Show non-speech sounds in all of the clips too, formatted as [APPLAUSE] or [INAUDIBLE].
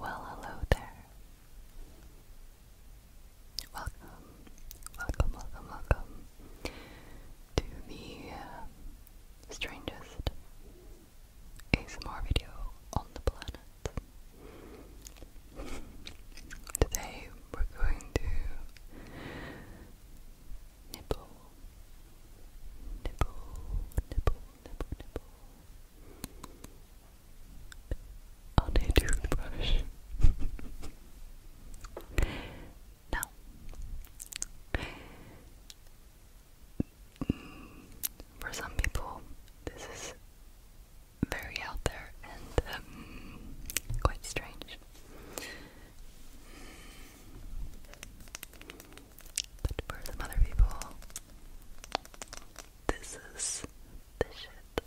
Well, hello there. Welcome, welcome, welcome, welcome to the uh, strangest ASMR video on the planet. [LAUGHS] Today we're going to nibble, nibble, nibble, nibble, nibble. On a toothbrush. [LAUGHS] now, mm, for some people, this is very out there and um, quite strange. But for some other people, this is the shit.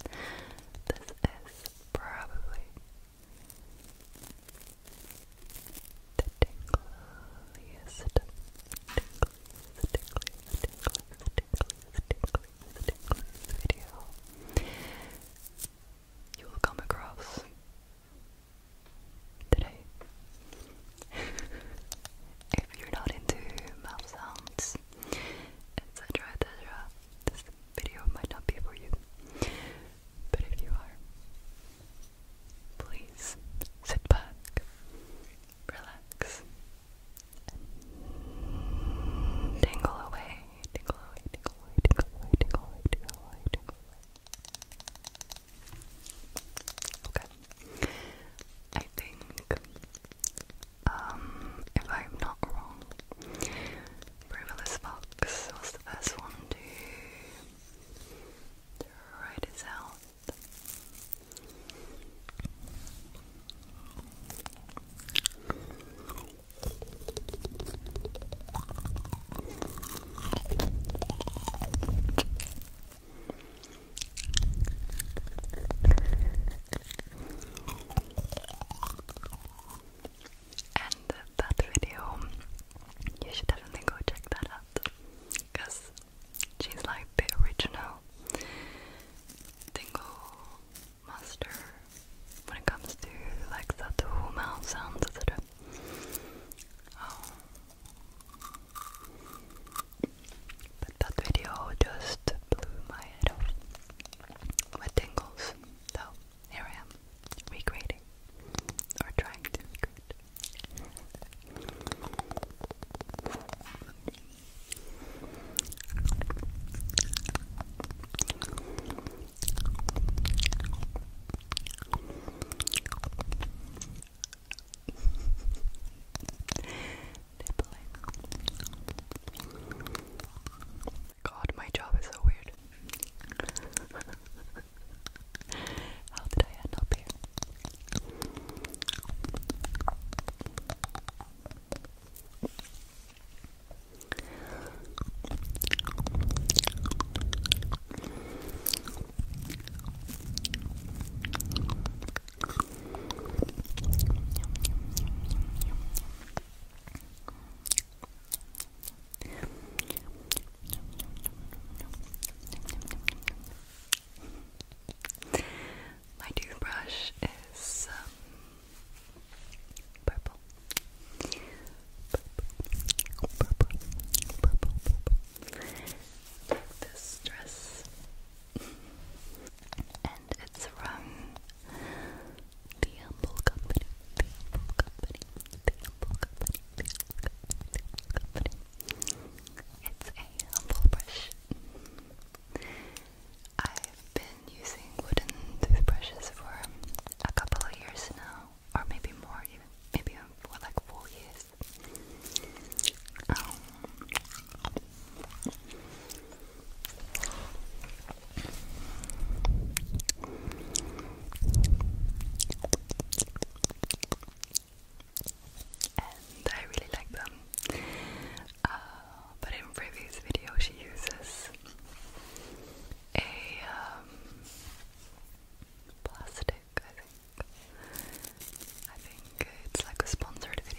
[LAUGHS] this is probably the tingliest, tingliest, tingliest, tingliest, tingliest, tingliest, tingliest, tingliest video you will come across today. [LAUGHS] if you're not into mouth sounds, etc., etc., this video might not be for you. But if you are, please sit back, relax, and tingle away away, tickle away, tickle away, tickle away, tickle away, tickle away, tickle away. Okay. I think, um, if I'm not wrong, Frivolous Fox was the first one to write this out. And that video, you should definitely go check that out because she's like the original tingle master when it comes to like the two sounds, etc. Oh. But that video just blew my head off with tingles. So here I am, recreating or trying to recreate. God, my job is so weird. [LAUGHS] How did I end up here? My toothbrush is um, Purple. Purple. Purple. Purple. this dress. and it's from The Humble Company. The Humble Company. The Humble Company. The Humble Company. It's a humble brush. I've been using wooden toothbrushes for a couple of years now, or maybe more, even maybe for like four years. Um, and I really like them. Uh, but in previous video she uses a um, plastic, I think. I think it's like a sponsored video.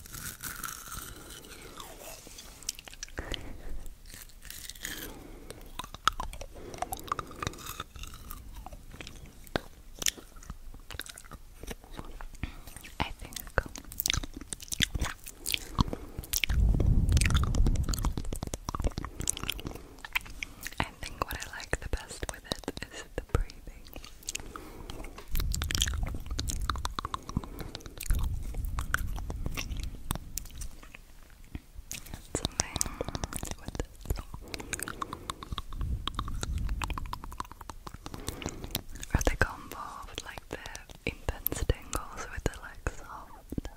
I think I think what I like the best with it is the breathing. That's something with this. like the intense tingles with the like soft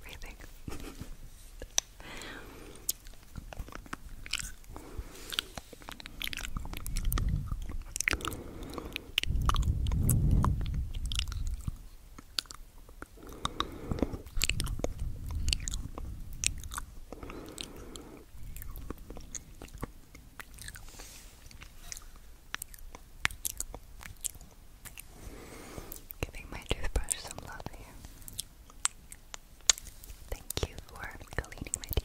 breathing? [LAUGHS] Giving my toothbrush some love here. Thank you for cleaning my teeth.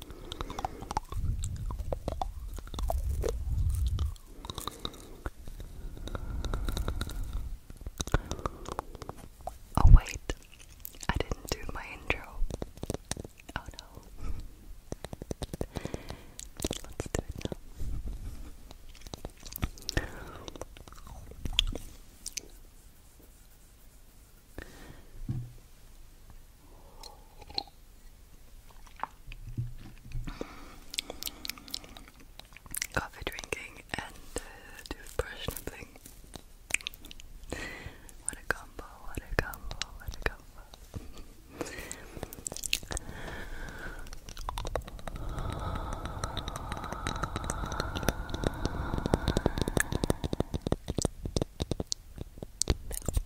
Oh, wait, I didn't do my intro. Oh no. Let's do it now coffee drinking and uh, depression thing. What a combo, what a combo, what a combo.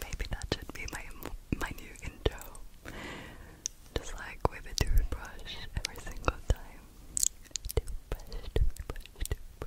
Maybe that should be my my new intro. Just like with a toothbrush every single time.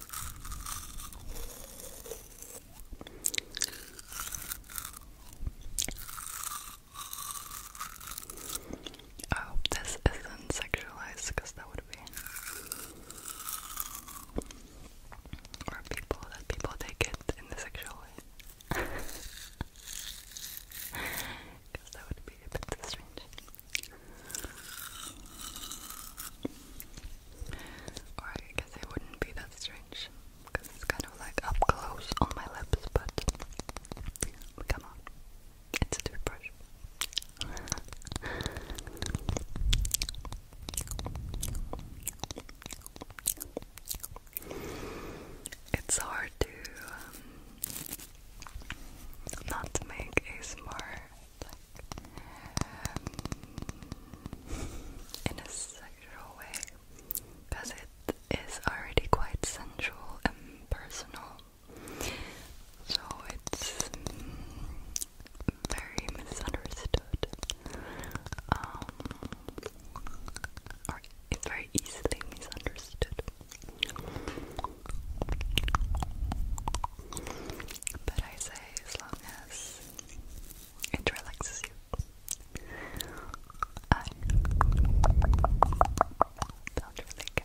I hope this isn't sexualized because that would be. Or people that people take it in the sexual way. Because [LAUGHS] that would be a bit strange. I guess it wouldn't be that strange because it's kind of like up close on my lips, but come on, it's a toothbrush. It's hard to um, not make a smart um, in a sexual way because it is already quite sensual and personal. So it's mm, very misunderstood. Um, or it's very easily misunderstood. But I say as long as it relaxes you. I do really care.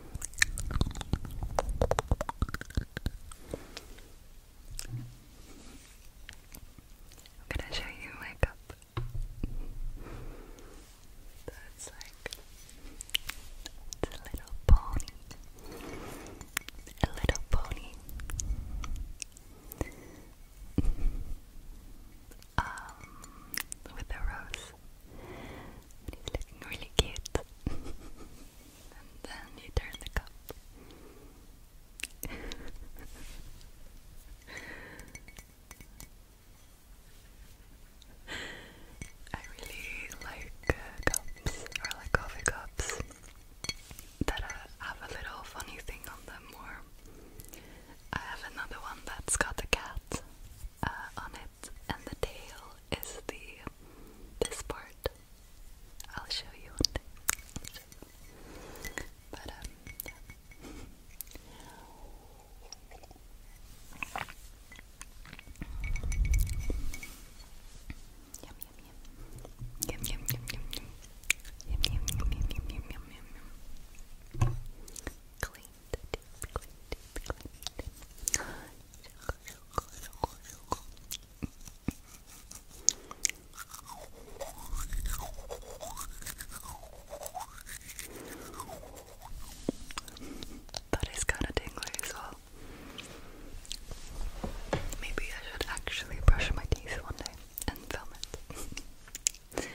i show you my cup. That's like a little pony. A little pony. Um with a rose and he's looking really cute. [LAUGHS] and then you turn the cup. I really like uh, cups, or like coffee cups, that have a little funny thing on them. Or I have another one that's got a cat uh, on it and the tail is the this part. I'll show you one But um that is kind of dingy as well. Maybe I should actually brush my teeth one day and film it. [LAUGHS]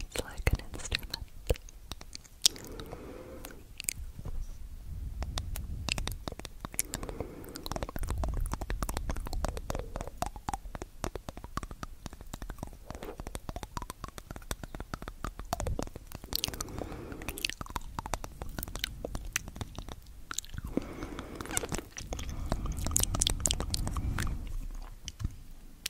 It's like an instrument.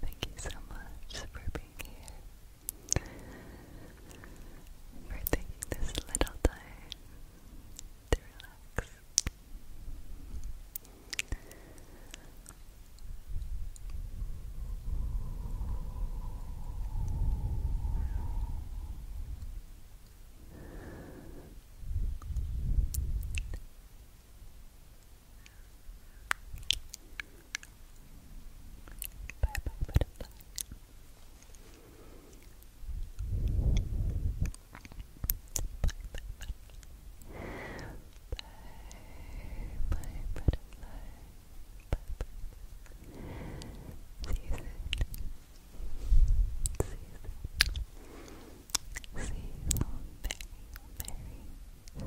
Thank you so much for being here, for taking this little time to relax. Bye bye, butterfly. Bye bye, butterfly. Bye bye, butterfly. Bye bye. See you soon. See you soon. See you all very, very soon.